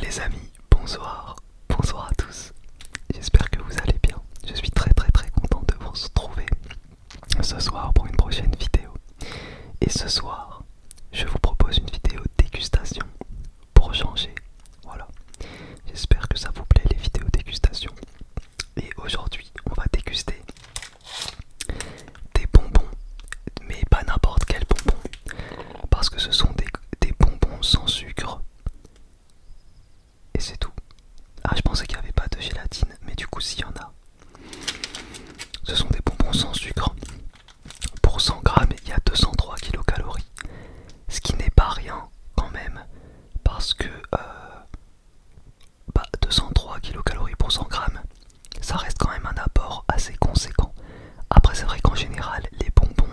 Les amis, bonsoir, bonsoir à tous. J'espère que vous allez bien. Je suis très très très content de vous retrouver ce soir pour une prochaine vidéo. Et ce soir, je vous propose une vidéo dégustation pour changer. Voilà. J'espère que ça vous plaît les vidéos dégustation. Et aujourd'hui, on va déguster des bonbons, mais pas n'importe quel bonbon, parce que ce sont des des bonbons sans sucre. Et c'est tout. Ah, je pensais qu'il n'y avait pas de gélatine, mais du coup, s'il y en a. Ce sont des bonbons sans sucre. Pour 100 grammes, il y a 203 kcal. Ce qui n'est pas rien, quand même. Parce que 203 euh, bah, kilocalories pour 100 grammes, ça reste quand même un apport assez conséquent. Après, c'est vrai qu'en général, les bonbons,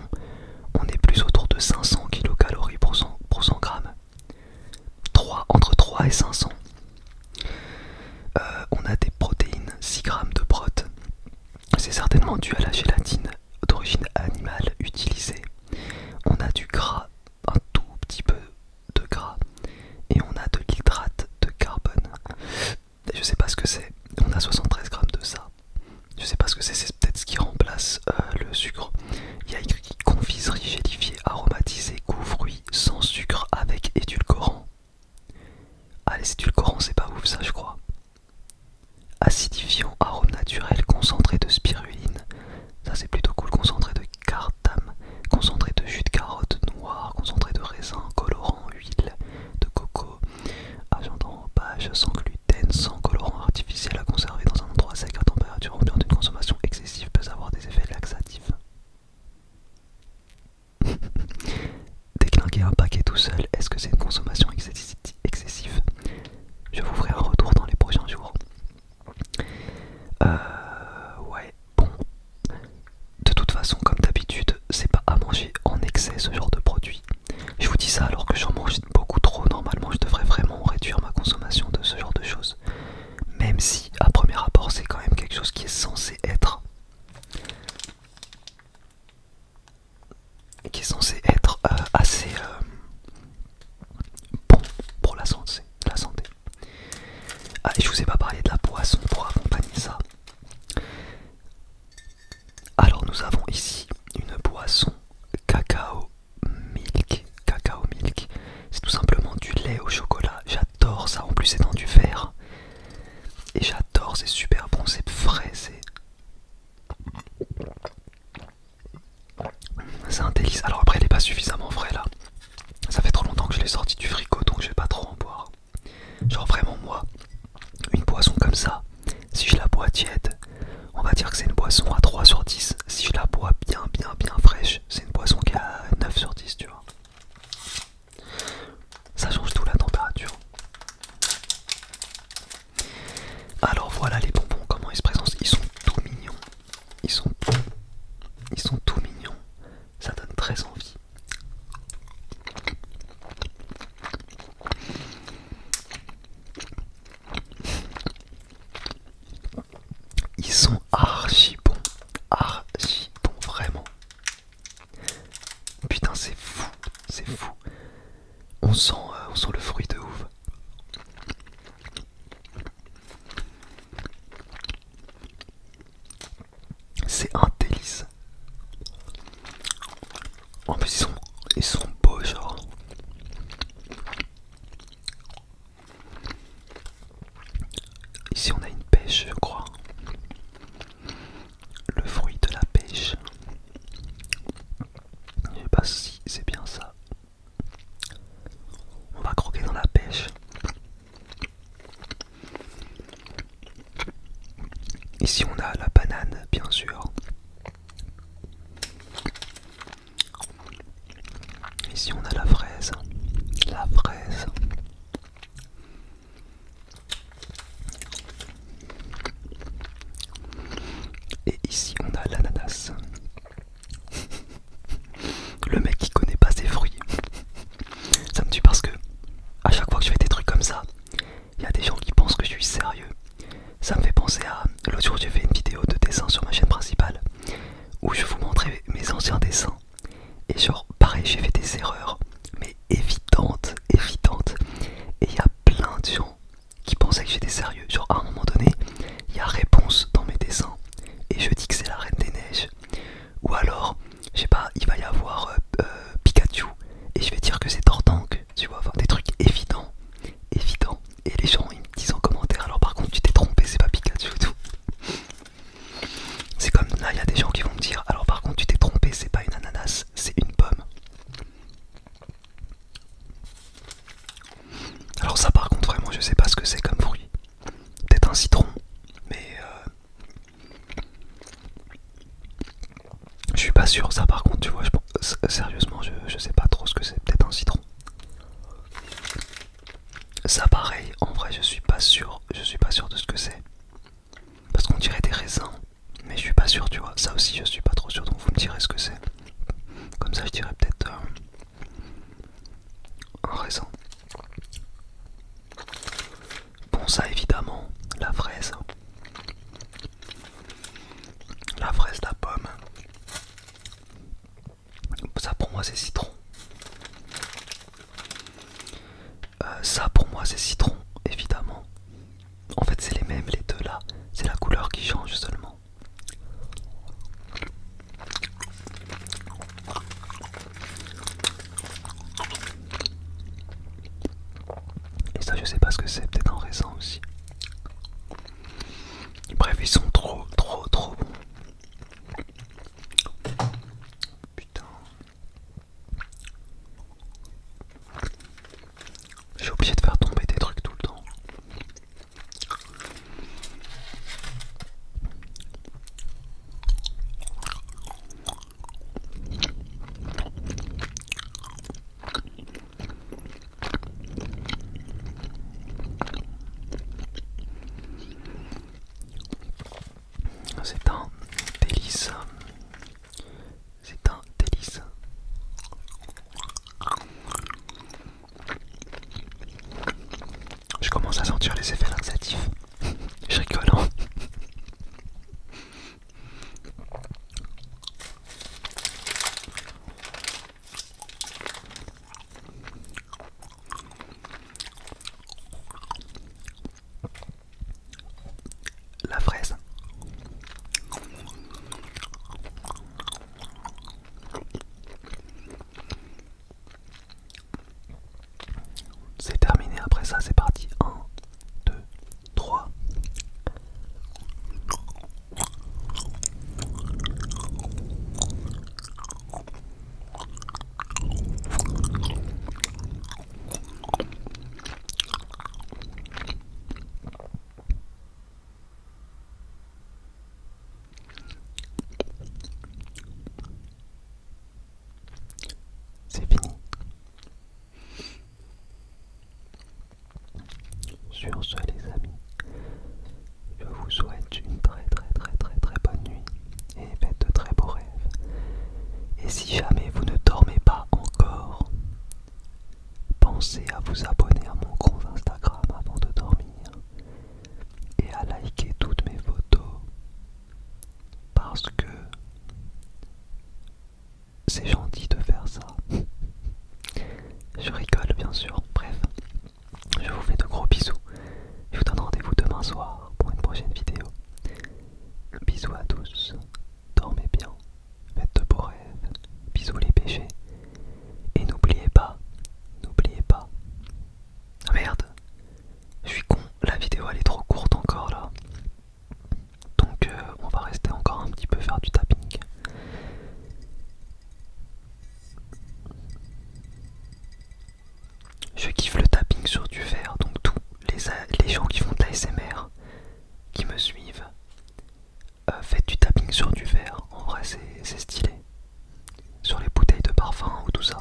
on est plus autour de 500 kcal pour 100, g. 3, entre 3 et 500. Euh, on a des protéines, 6 grammes de prot. C'est certainement dû à la gélatine d'origine animale utilisée. On a du gras, un tout petit peu de gras. Et on a de l'hydrate de carbone je sais pas ce que c'est. On a 73 grammes de ça. Je sais pas ce que c'est, c'est peut-être ce qui remplace euh, le sucre. Il y a écrit confiserie gélifiée, aromatisée, goût fruit, sans sucre, avec édulcorant. Ah, les édulcorants, c'est pas ouf ça, je crois. Acidifiant, arôme naturel, concentré de spiruline. Ça, c'est plutôt cool. Concentré de cartam, concentré de jus de carotte noire, concentré de raisin, colorant, huile de coco, Agent ah, page sans gluten, sans colorant artificiel à conserver dans un endroit sec à température ambiante, une consommation excessive peut avoir des effets laxatifs. Déclinquer un paquet tout seul, est-ce que c'est une consommation excessive Je vous ferai un retour dans les prochains jours. Euh, ouais, bon, de toute façon, comme d'habitude, c'est pas à manger en excès ce genre de produit. Je vous dis ça alors que j'en mange beaucoup trop. Normalement, je devrais vraiment réduire ma consommation de ce genre de choses. Même si, à premier abord, c'est quand même quelque chose qui est censé être. qui est censé être euh, assez euh, bon pour la santé. La ah, je vous ai pas parlé de la poisson pour accompagner ça. Alors nous avons ici une boisson cacao milk. Cacao milk, c'est tout simplement du lait au chocolat. J'adore ça, en plus c'est dans du verre. Et j'adore, c'est super bon, c'est frais, c'est... un délice. Alors après, il n'est pas suffisamment frais là. Ça fait trop longtemps que je l'ai sorti du frigo, donc je vais pas trop en boire genre. vraiment moi, une boisson comme ça, si je la bois tiède, on va dire que c'est une boisson à 3 sur 10. Si je la bois bien, bien, bien fraîche, c'est une boisson qui a 9 sur 10, tu vois. Ça change tout la température. Alors voilà les bonbons, comment ils se présentent. Ils sont tout mignons. Ils sont, ils sont tout mignons ça donne très envie. Ils sont archi bons, archi bons, vraiment. Putain, c'est fou, c'est fou. On sent, euh, on sent le fruit de ouf. C'est un délice. En plus, ils sont, ils beaux, genre. Ici, on a une pêche, je crois. Le fruit de la pêche. Je sais pas si c'est bien ça. On va croquer dans la pêche. Ici on a la banane bien sûr. Ici on a la fraise. La fraise. Et ici on a l'ananas. Le mec qui connaît pas ses fruits. Ça me tue parce que à chaque fois que je fais des trucs comme ça, il y a des gens qui pensent que je suis sérieux. Ça me fait penser à l'autre jour j'ai fait une vidéo de dessin sur ma chaîne principale où je vous montrais mes anciens dessins. Et genre pareil j'ai fait des erreurs, mais évidentes, évidentes. Et il y a plein de gens qui pensaient que j'étais sérieux. Genre à un moment donné, il y a réponse dans mes dessins. Et je dis que c'est la reine des neiges. Ou alors je sais pas, il va y avoir euh, euh, Pikachu et je vais dire que c'est Tortank, tu vois, avoir des trucs évidents, évidents. Et les gens ils me disent en commentaire, alors par contre tu t'es trompé, c'est pas Pikachu et tout. C'est comme là, il y a des gens qui vont me dire, alors par contre tu t'es trompé, c'est pas une ananas, c'est une pomme. Alors ça par contre vraiment je sais pas ce que c'est comme fruit peut-être un citron, mais euh, je suis pas sûr. Ça, par contre, tu vois, sérieusement, je, sais pas trop ce que c'est. Peut-être un citron. Ça, pareil. En vrai, je suis pas sûr. Je suis pas sûr de ce que c'est parce qu'on dirait des raisins, mais je suis pas sûr, tu vois. Ça aussi, je suis pas trop sûr. Donc, vous me direz ce que c'est. Comme ça, je dirais peut-être. Euh, raison. Bon ça évidemment, la fraise. La fraise, la pomme. Ça pour moi c'est citron. Euh, ça pour moi c'est citron, évidemment. En fait c'est les mêmes les deux là. C'est la couleur qui change seulement. Et ça je sais pas ce que c'est, peut-être en raison aussi. Bref, ils sont trop trop trop bons. Putain. J'ai oublié de faire tomber des trucs tout le temps. Ah, c'est un délice. C'est un délice. Je commence à sentir les effets laxatifs. Je rigole. Hein. La fraise. C'est terminé après ça, c'est parti. 1, 2, 3. C'est fini. Sur ce les amis, je vous souhaite une très très très très très bonne nuit et faites de très beaux rêves. Et si jamais vous ne dormez pas encore, pensez à vous abonner à mon compte Instagram avant de dormir et à liker toutes mes photos parce que c'est gentil de faire ça. Je rigole bien sûr. Bref, je vous fais de gros bisous. Je vous donne rendez-vous demain soir pour une prochaine vidéo. Bisous à tous. Dormez bien. Faites de beaux rêves. Bisous les péchés. Et n'oubliez pas, n'oubliez pas. Ah, merde, je suis con, la vidéo elle est trop courte encore là. Donc euh, on va rester encore un petit peu faire du tapping. Je kiffe le tapping sur du verre, donc tous les, les gens qui font de l'ASMR, qui me suivent, euh, faites du tapping sur du verre. En vrai c'est stylé sur les bouteilles de parfum ou tout ça.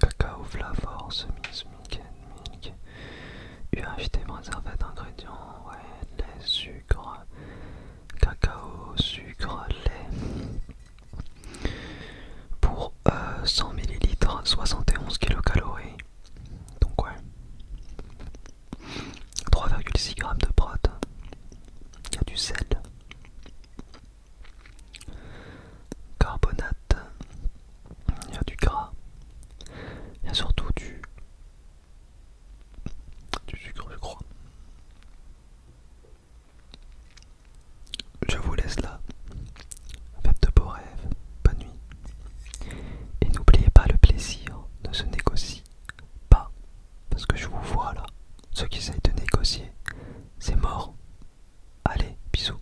Cacao, flavor, semis, milk, milk, UHT réservé d'ingrédients, ouais, lait, sucre, cacao, sucre, lait. Pour 100 ml, 71 kcal. Donc ouais. 3,6 g de protéines, Il y a du sel. Carbonate il y a du gras, il y a surtout du, sucre, je crois. Je vous laisse là. Faites de beaux rêves, bonne nuit. Et n'oubliez pas le plaisir ne se négocie pas. Parce que je vous vois là. Ceux qui essayent de négocier, c'est mort. Allez, bisous.